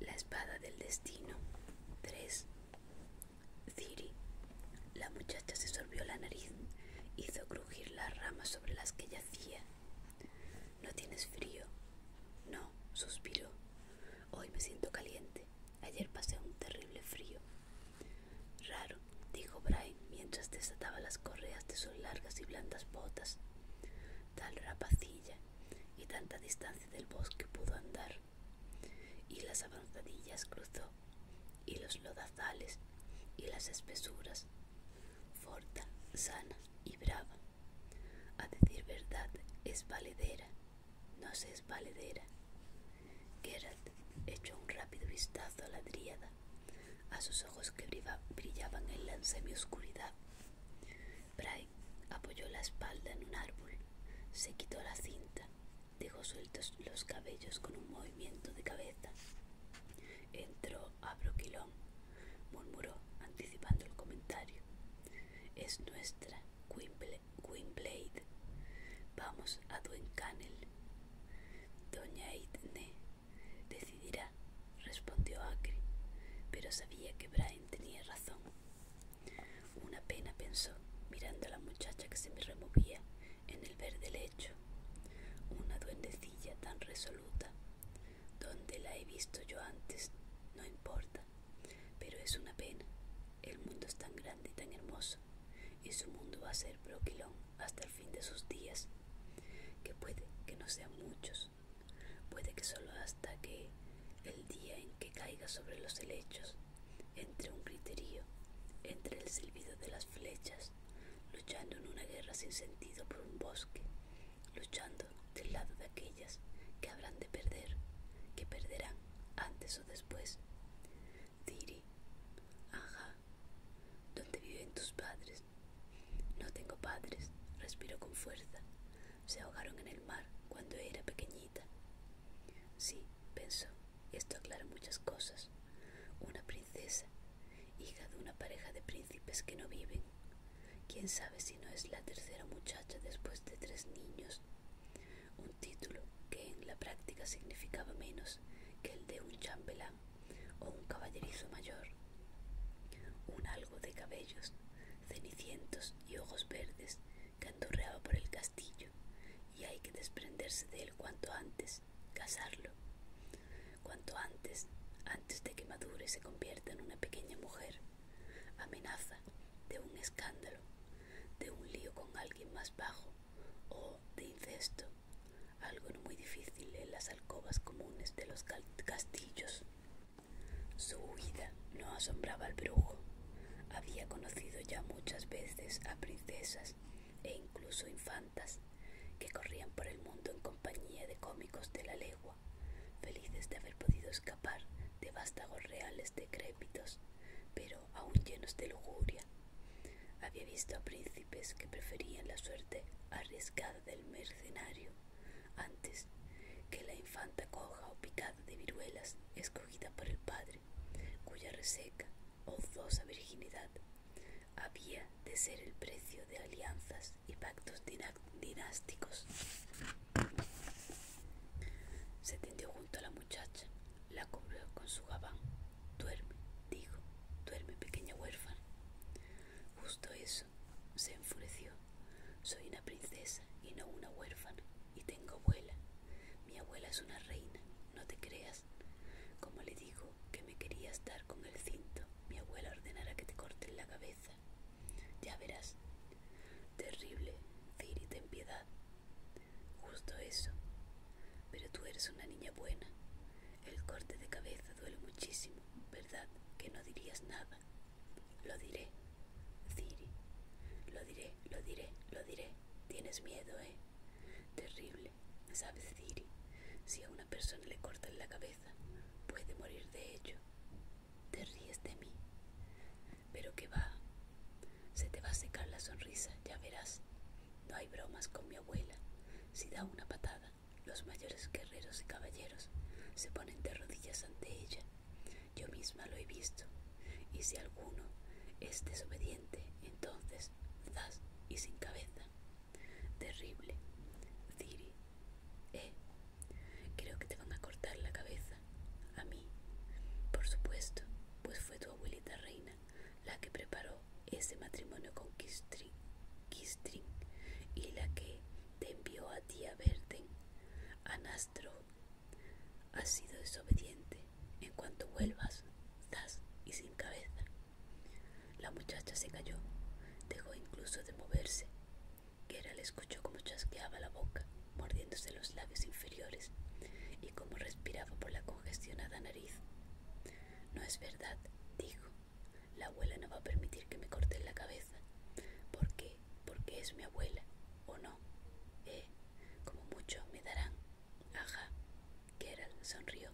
La espada del destino. 3. Ciri. La muchacha se sorbió la nariz. Hizo crujir las ramas sobre las que yacía. ¿No tienes frío? No, suspiró. Hoy me siento caliente. Ayer pasé un terrible frío. Raro, dijo Brian mientras desataba las correas de sus largas y blandas botas. Tal rapacilla y tanta distancia del bosque pudo andar, y las avanzadillas cruzó, y los lodazales, y las espesuras, forta, sana y brava. A decir verdad, es valedera, no se es valedera. Geralt echó un rápido vistazo a la dríada, a sus ojos que brillaban en la semioscuridad Brian apoyó la espalda en un árbol, se quitó la cinta, dejó sueltos los cabellos con un movimiento de cabeza. Entró a Broquilón, murmuró, anticipando el comentario. Es nuestra Blade, Vamos a Duencanel. Doña Aitne decidirá respondió Acre, pero sabía que Brian tenía razón. Una pena pensó, mirando a la muchacha que se me removía en el verde lecho. Una duendecilla tan resoluta. Donde la he visto yo antes, no importa, pero es una pena. El mundo es tan grande y tan hermoso, y su mundo va a ser broquilón hasta el fin de sus días, que puede que no sean muchos, puede que solo hasta que el día en que caiga sobre los helechos, entre un griterío, entre el silbido de las flechas, luchando en una guerra sin sentido por un bosque, luchando del lado de aquellas que habrán de perder, que perderán antes o después. Diri, Aja, donde viven tus padres, no tengo padres, respiró con fuerza. Se ahogaron en el mar cuando era pequeñita. Sí, pensó, esto aclara muchas cosas. Una princesa, hija de una pareja de príncipes que no viven. ¿Quién sabe si no es la tercera muchacha después de tres niños? Un título que en la práctica significaba menos que el de un chambelán o un caballerizo mayor. Un algo de cabellos cenicientos y ojos verdes canturreaba por el castillo, y hay que desprenderse de él cuanto antes, casarlo. Cuanto antes, antes de que madure y se convierta en una pequeña mujer, amenaza de un escándalo, de un lío con alguien más bajo o de incesto, algo no muy difícil en las alcobas comunes de los castillos. Su huida no asombraba al brujo. Había conocido ya muchas veces a princesas e incluso infantas que corrían por el mundo en compañía de cómicos de la legua, felices de haber podido escapar de vástagos reales decrépitos, pero aún llenos de lujuria. Había visto a príncipes que preferían la suerte arriesgada del mercenario antes que la infanta coja o picada de viruelas escogida por el padre, cuya reseca o fosa virginidad había de ser el precio de alianzas y pactos dinásticos. Se tendió junto a la muchacha, la cubrió con su gabán. Duerme, dijo, duerme pequeña huérfana. Justo eso se enfureció. Soy una princesa y no una huérfana. Y tengo abuela. Mi abuela es una reina. No te creas. Como le digo que me querías dar con el cinto, mi abuela ordenará que te corten la cabeza. Ya verás. Terrible. Ciri, ten piedad. Justo eso. Pero tú eres una niña buena. El corte de cabeza duele muchísimo, ¿verdad? Que no dirías nada. Lo diré, Ciri. Lo diré, lo diré, lo diré. Tienes miedo, ¿eh? Terrible. ¿Sabes, Ciri? Si a una persona le cortan la cabeza, puede morir de ello. Te ríes de mí. Pero que va. Se te va a secar la sonrisa, ya verás. No hay bromas con mi abuela. Si da una patada, los mayores guerreros y caballeros se ponen de rodillas ante ella. Yo misma lo he visto. Y si alguno es desobediente, entonces, zas y sin cabeza. Terrible. Ciri. Eh. Creo que te van a cortar la cabeza. A mí. Por supuesto, pues fue tu abuelita reina la que preparó ese matrimonio con Kistri, Kistrin y la que te envió a ti a Verden. Anastro, has sido desobediente. En cuanto vuelvas, estás y sin cabeza. La muchacha se cayó, dejó incluso de moverse. era le escuchó como chasqueaba la boca, mordiéndose los labios inferiores, y como respiraba por la congestionada nariz. No es verdad, dijo. La abuela no va a permitir que me corten la cabeza. ¿Por qué? Porque es mi abuela, ¿o no? Eh, como mucho me darán. Ajá, Gerald sonrió.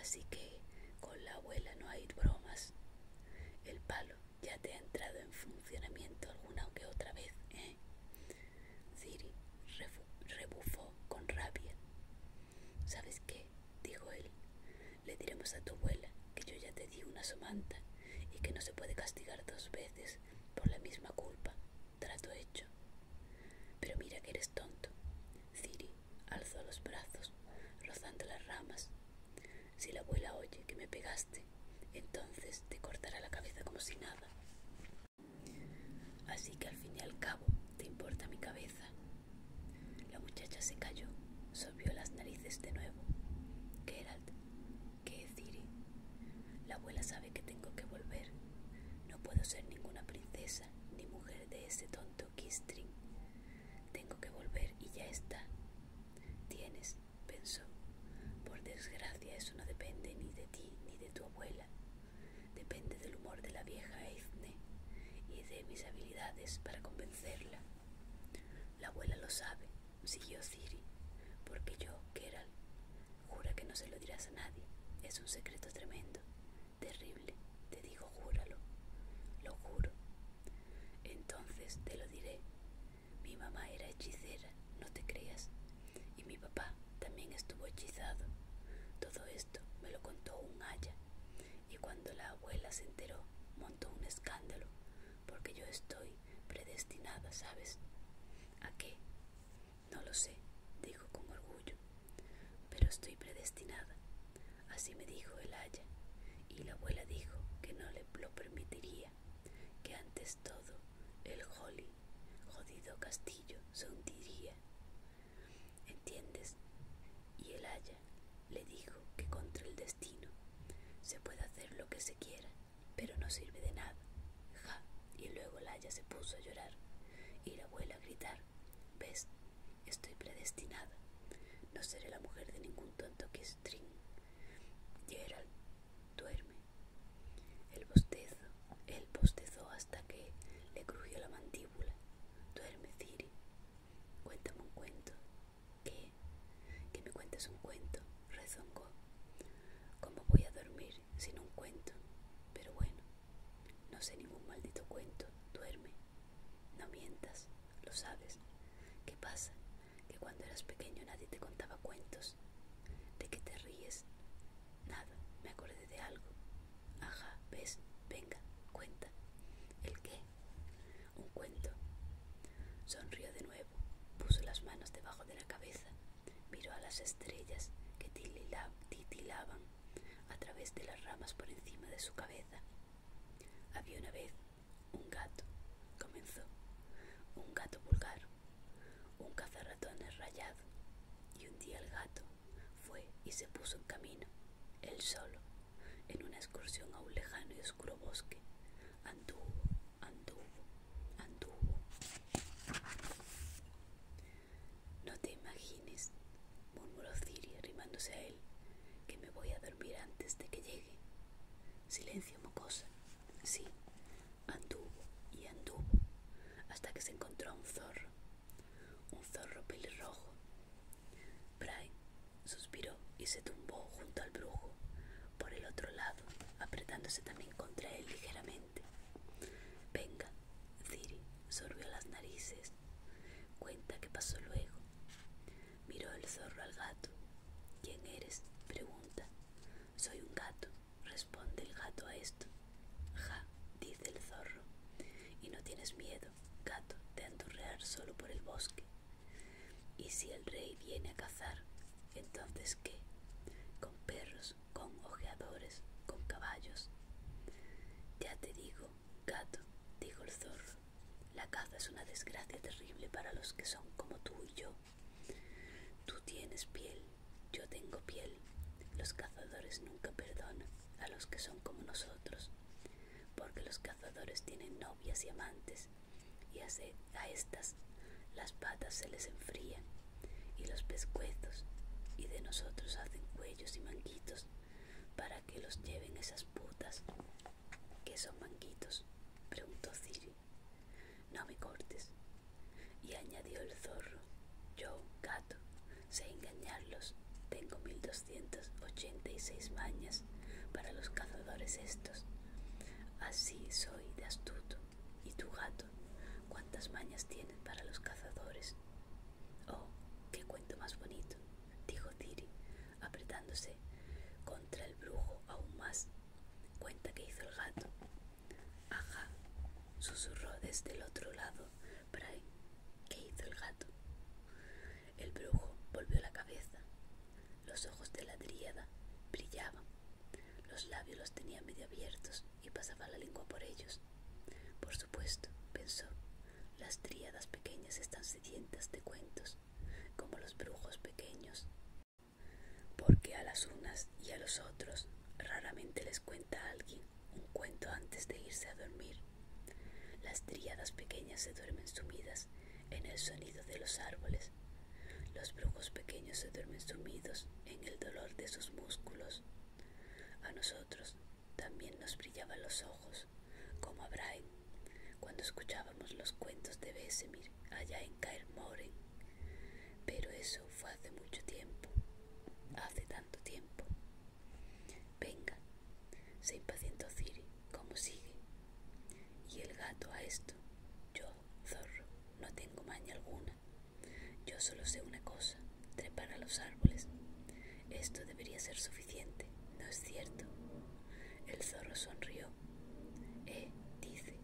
Así que con la abuela no hay bromas. El palo ya te ha entrado en funcionamiento alguna que otra vez, ¿eh? Siri rebufó con rabia. ¿Sabes qué? dijo él. Le diremos a tu abuela que yo ya te di una somanta y que no se puede castigar dos veces por la misma culpa. Trato hecho. Pero mira que eres tonto. Ciri alzó los brazos, rozando las ramas. Si la abuela oye que me pegaste, entonces te cortará la cabeza como si nada. Así que al fin y al cabo te importa mi cabeza. La muchacha se cayó, sobió las narices de nuevo. que ¿qué decir? La abuela sabe que tengo que volver. No puedo ser ninguna princesa ni mujer de ese tonto Kistring. Tengo que volver y ya está. Tienes, pensó. Por desgracia eso no depende ni de ti ni de tu abuela. Depende del humor de la vieja Eithne y de mis habilidades para convencerla. La abuela lo sabe, siguió Ciri, porque yo, era jura que no se lo dirás a nadie. Es un secreto tremendo, terrible. Te digo, júralo. Lo juro. Entonces te lo diré. Mi mamá era hechicera, no te creas. Y mi papá también estuvo hechizado. Todo esto me lo contó un haya y cuando la abuela se enteró montó un escándalo, porque yo estoy predestinada, ¿sabes? ¿A qué? No lo sé, dijo con orgullo, pero estoy predestinada. Así me dijo el aya y la abuela dijo que no le lo permitiría, que antes todo el jolly, jodido castillo, se hundiría. ¿entiendes? Y el haya le dijo que contra el destino se puede hacer lo que se quiera, pero no sirve de nada. Ja, y luego el haya se puso a llorar y la abuela a gritar, ¿ves? Estoy predestinada. No seré la mujer de ningún tonto que string. Gerald, duerme. El bostezo, él bostezó hasta que le crujió la mandíbula. Duerme, Ciri, Cuéntame un cuento. ¿Qué? Que me cuentes un cuento, rezongó. ¿Cómo voy a dormir sin un cuento? Pero bueno, no sé ningún maldito cuento. Duerme. No mientas, lo sabes. ¿Qué pasa? Que cuando eras pequeño nadie te contaba cuentos. ¿De qué te ríes? Nada, me acordé de algo. Ajá, ves, venga, cuenta. ¿El qué? Un cuento. Sonrió de nuevo, puso las manos debajo de la cabeza, miró a las estrellas que titilaban a través de las ramas por encima de su cabeza. Había una vez un gato, comenzó, un gato vulgar, un cazarratón rayado, y un día el gato fue y se puso en camino él solo, en una excursión a un lejano y oscuro bosque, anduvo, anduvo, anduvo. No te imagines, murmuró Ciri arrimándose a él, que me voy a dormir antes de que llegue. Silencio, mocosa. Sí, anduvo y anduvo, hasta que se encontró un zorro, un zorro pelirrojo. Brian suspiró y se tumbó junto al brujo, por el otro lado, apretándose también contra él ligeramente. Venga, Ziri sorbió las narices. Cuenta qué pasó luego. Miró el zorro al gato. ¿Quién eres? pregunta. Soy un gato, responde el gato a esto. Ja, dice el zorro. ¿Y no tienes miedo? gato, de andurrear solo por el bosque. Y si el rey viene a cazar, entonces qué? Con perros, con ojeadores, con caballos. Ya te digo, gato, dijo el zorro, la caza es una desgracia terrible para los que son como tú y yo. Tú tienes piel, yo tengo piel. Los cazadores nunca perdonan a los que son como nosotros porque los cazadores tienen novias y amantes, y a estas las patas se les enfrían, y los pescuezos, y de nosotros hacen cuellos y manguitos, para que los lleven esas putas. que son manguitos? preguntó Ciri. No me cortes. Y añadió el zorro, yo, gato, sé engañarlos. Tengo 1286 mañas para los cazadores estos. Así soy de astuto. ¿Y tu gato? ¿Cuántas mañas tienen para los cazadores? Oh, qué cuento más bonito, dijo Tiri, apretándose contra el brujo aún más. Cuenta que hizo el gato. Ajá, susurró desde el otro lado ¿qué hizo el gato? El brujo volvió la cabeza. Los ojos de la dríada brillaban. Los labios los tenía medio abiertos y pasaba la lengua por ellos. Por supuesto, pensó, las tríadas pequeñas están sedientas de cuentos, como los brujos pequeños. Porque a las unas y a los otros raramente les cuenta alguien un cuento antes de irse a dormir. Las tríadas pequeñas se duermen sumidas en el sonido de los árboles. Los brujos pequeños se duermen sumidos en el dolor de sus músculos. A nosotros también nos brillaban los ojos, como a Brian, cuando escuchábamos los cuentos de besemir allá en Caermoren. Pero eso fue hace mucho tiempo, hace tanto tiempo. Venga, se impacientó Ciri. ¿Cómo sigue? Y el gato a esto. Yo, zorro, no tengo maña alguna. Yo solo sé una cosa, trepar a los árboles. Esto debería ser suficiente, ¿no es cierto? El zorro sonrió. Eh, dice,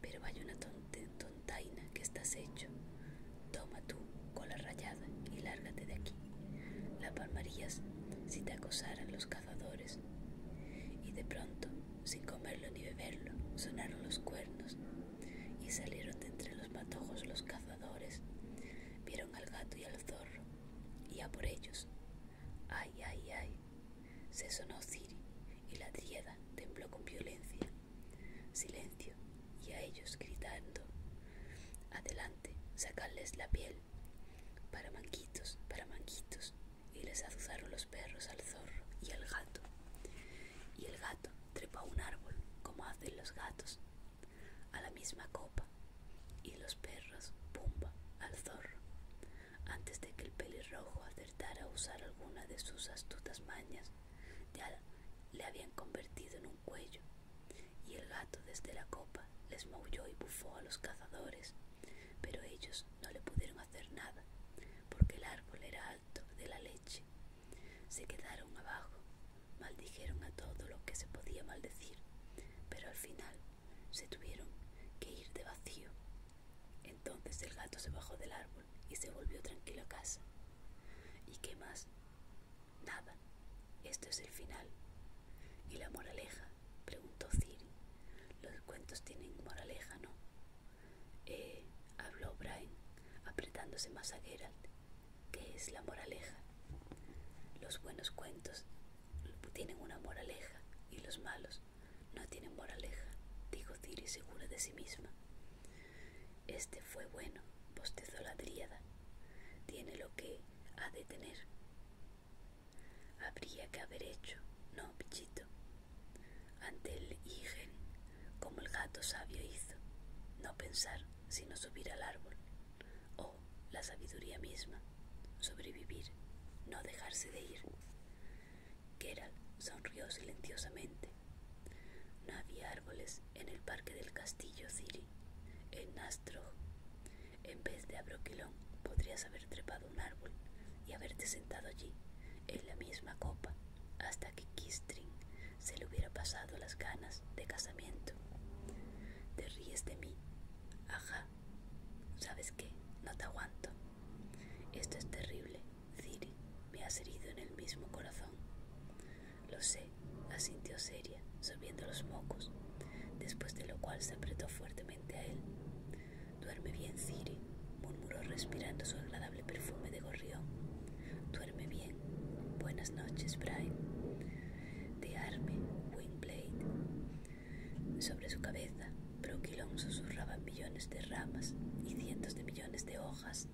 pero vaya una tonta, tontaina que estás hecho. Toma tú cola rayada, y lárgate de aquí. La palmarías si te acosaran los cazadores. Y de pronto, sin comerlo ni beberlo, sonaron los cuernos, y salieron de entre los matojos los cazadores. Vieron al gato y al zorro, y a por ellos. ¡Ay, ay, ay! Se sonó Ciri, y la trieda tembló con violencia. Silencio y a ellos gritando, adelante, sacarles la piel, para manquitos, para manquitos. y les azuzaron los perros al zorro y al gato. Y el gato trepa a un árbol, como hacen los gatos, a la misma copa, y los perros, pumba, al zorro, antes de que el pelirrojo acertara a usar alguna de sus astutas mañas, ya le habían convertido en un cuello, y el gato desde la copa les maulló y bufó a los cazadores, pero ellos no le pudieron hacer nada, porque el árbol era alto de la leche. Se quedaron abajo, maldijeron a todo lo que se podía maldecir, pero al final se tuvieron que ir de vacío. Entonces el gato se bajó del árbol y se volvió tranquilo a casa. ¿Y qué más Nada, esto es el final. ¿Y la moraleja? preguntó Ciri. Los cuentos tienen moraleja, ¿no? Eh, habló Brian, apretándose más a Geralt. ¿Qué es la moraleja? Los buenos cuentos tienen una moraleja y los malos no tienen moraleja, dijo Ciri segura de sí misma. Este fue bueno, postezó la tríada. Tiene lo que ha de tener. Habría que haber hecho, no, pichito. Ante el higen, como el gato sabio hizo, no pensar, sino subir al árbol. o la sabiduría misma, sobrevivir, no dejarse de ir. Keral sonrió silenciosamente. No había árboles en el parque del castillo Ciri, en Nastro En vez de Abroquilón podrías haber trepado un árbol y haberte sentado allí, en la misma copa, hasta que Kistring se le hubiera pasado las ganas de casamiento. Te ríes de mí. Ajá. ¿Sabes qué? No te aguanto. Esto es terrible. Ciri, me has herido en el mismo corazón. Lo sé, asintió seria, solviendo los mocos, después de lo cual se apretó fuertemente a él. Duerme bien, Siri, murmuró respirando su agradable perfume de gorrión. Duerme bien. Buenas noches, Brian. De arme, Wingblade. Sobre su cabeza, Broquilón susurraban millones de ramas y cientos de millones de hojas.